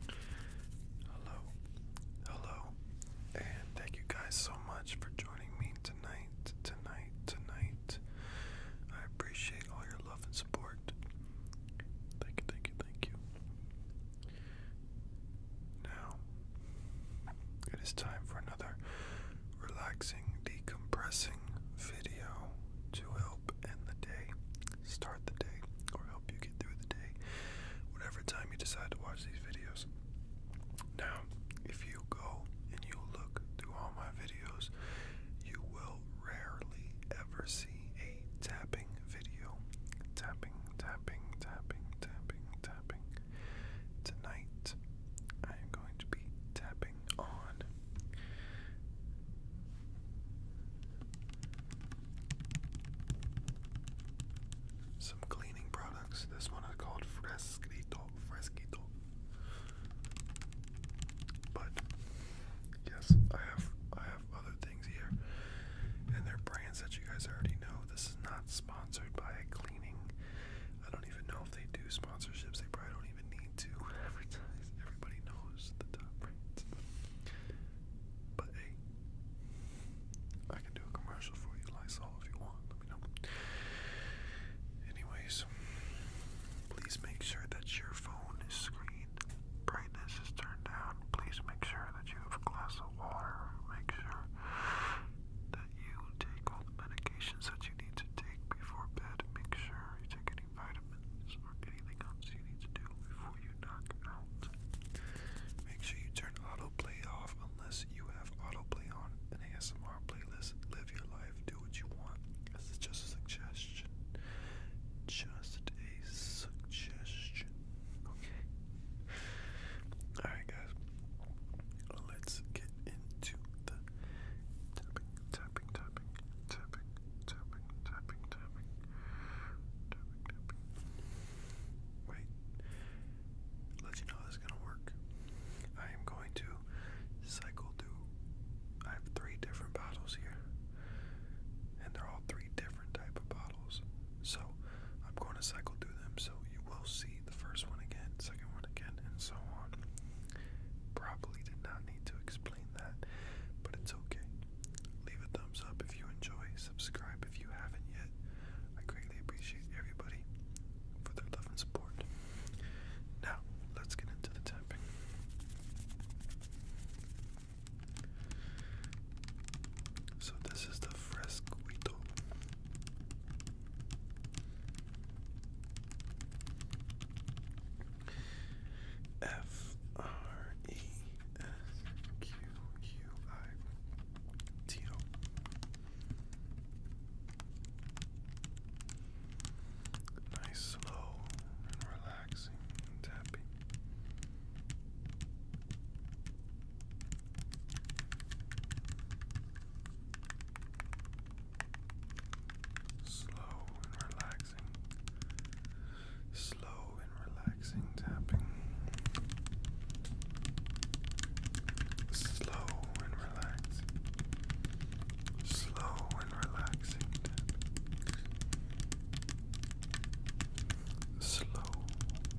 Hello, hello, and thank you guys so much for joining me tonight, tonight, tonight. I appreciate all your love and support. Thank you, thank you, thank you. Now, it is time for another relaxing, decompressing video to help end the day start the day or help you get through the day, whatever time you decide to watch these videos. Now, if you go and you look through all my videos, you will rarely ever see a tapping video. Tapping, tapping, tapping, tapping, tapping. Tonight, I am going to be tapping on some cleaning products. This one is called Fresquito. Fresquito. But yes, I have I have other things here, and they're brands that you guys already know. This is not sponsored by a cleaning. I don't even know if they do sponsorships. They probably don't even need to Everybody knows the top brands. But hey, I can do a commercial for you, Lysol, if you want. Let me know. Anyways, please make sure that your phone is screen brightness is turned down. Please make sure that you have a glass of water. Make sure that you take all the medications that you need to take before bed. Make sure you take any vitamins or anything else you need to do before you knock out. Make sure you turn autoplay off unless you have autoplay on. An ASMR playlist. Live your life. Do what you want. This is just a suggestion. Just a suggestion. Okay. Alright, guys. Let's get into the tapping, tapping, tapping, tapping, tapping, tapping, tapping, tapping, tapping. Wait, let you know this is gonna work. I am going to cycle through. I have three different bottles here, and they're all three different type of bottles. So I'm going to cycle through them. So you will see the first one again, second one again, and so on. Probably did not need to explain that, but it's okay. Leave a thumbs up if you enjoy. Subscribe if you haven't yet. I greatly appreciate everybody for their love and support. Now, let's get into the tapping. So, this is the Fresquito. F R E S Q U I T O. Nice, slow, and relaxing tapping. Slow and relaxing slow and relaxing tapping. Slow and relaxing. Slow and relaxing tapping. Slow. Relax.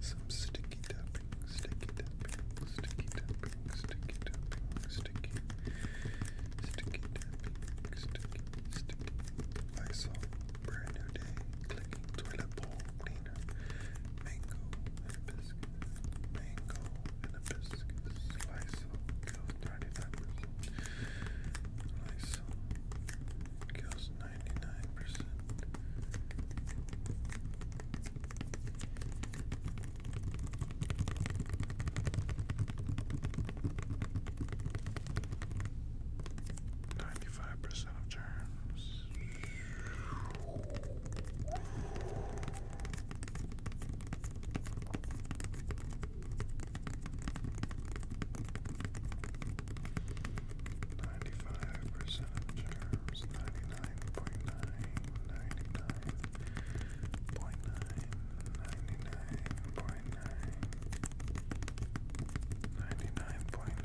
Some sticky tapping, sticky tapping, sticky tapping, sticky tapping, sticky, sticky tapping, sticky, sticky. I brand new day clicking toilet bowl cleaner, mango and mango and a biscuit. Slice of kills 99%. Ninety-five percent of germs. Ninety-five percent of germs, ninety-nine point nine, ninety-nine point nine, ninety-nine point nine, ninety-nine point nine.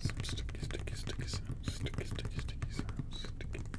Some sticky, sticky, sticky sounds. Sticky, sticky, sticky sounds. Sticky.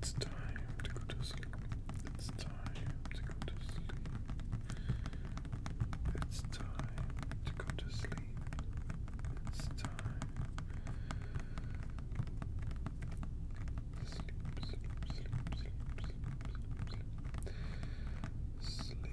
It's time to go to sleep. It's time to go to sleep. It's time to go to sleep. It's time. Sleep, sleep, sleep, sleep, sleep, sleep, sleep. Sleep.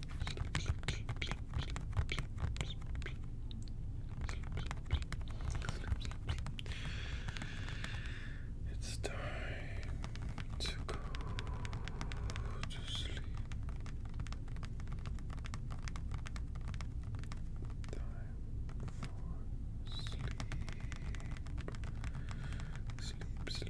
It's time to go to sleep. Time for sleep. Sleep, sleep, sleep,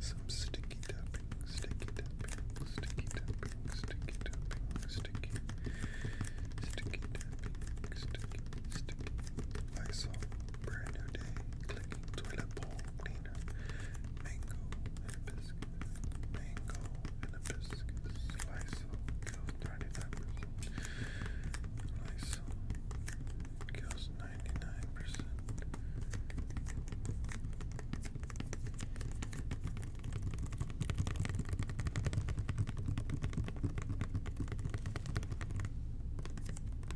Some sticky tapping, sticky tapping, sticky tapping, sticky tapping, sticky, sticky tapping, sticky, sticky. Lysol, brand new day, clicking toilet bowl cleaner, mango and hibiscus, mango and hibiscus. Lysol kills 99%. Lysol kills ninety-nine percent.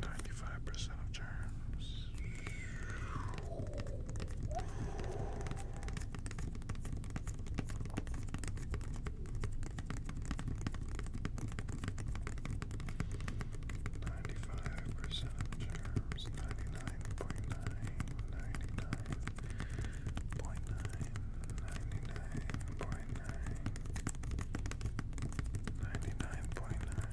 Ninety-five percent of germs. Ninety-five percent of germs, ninety-nine point nine, ninety-nine point nine, ninety-nine point nine, ninety-nine point nine.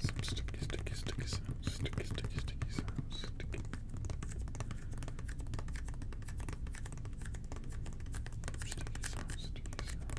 Some sticky, sticky, sticky sounds, sticky, sticky, sticky sounds, sticky. sounds, sticky sounds.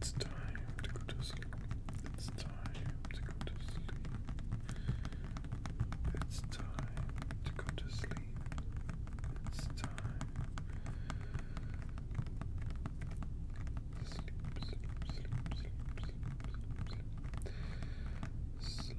It's time to go to sleep time to go to sleep. It's time to go to sleep. It's time. Sleep, sleep, sleep, sleep, sleep, sleep, sleep. Sleep. Sleep. Sleep.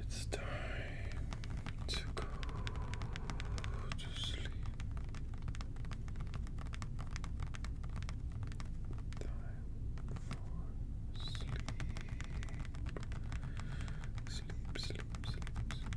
It's time to go to sleep. Time for sleep. Sleep, sleep, sleep,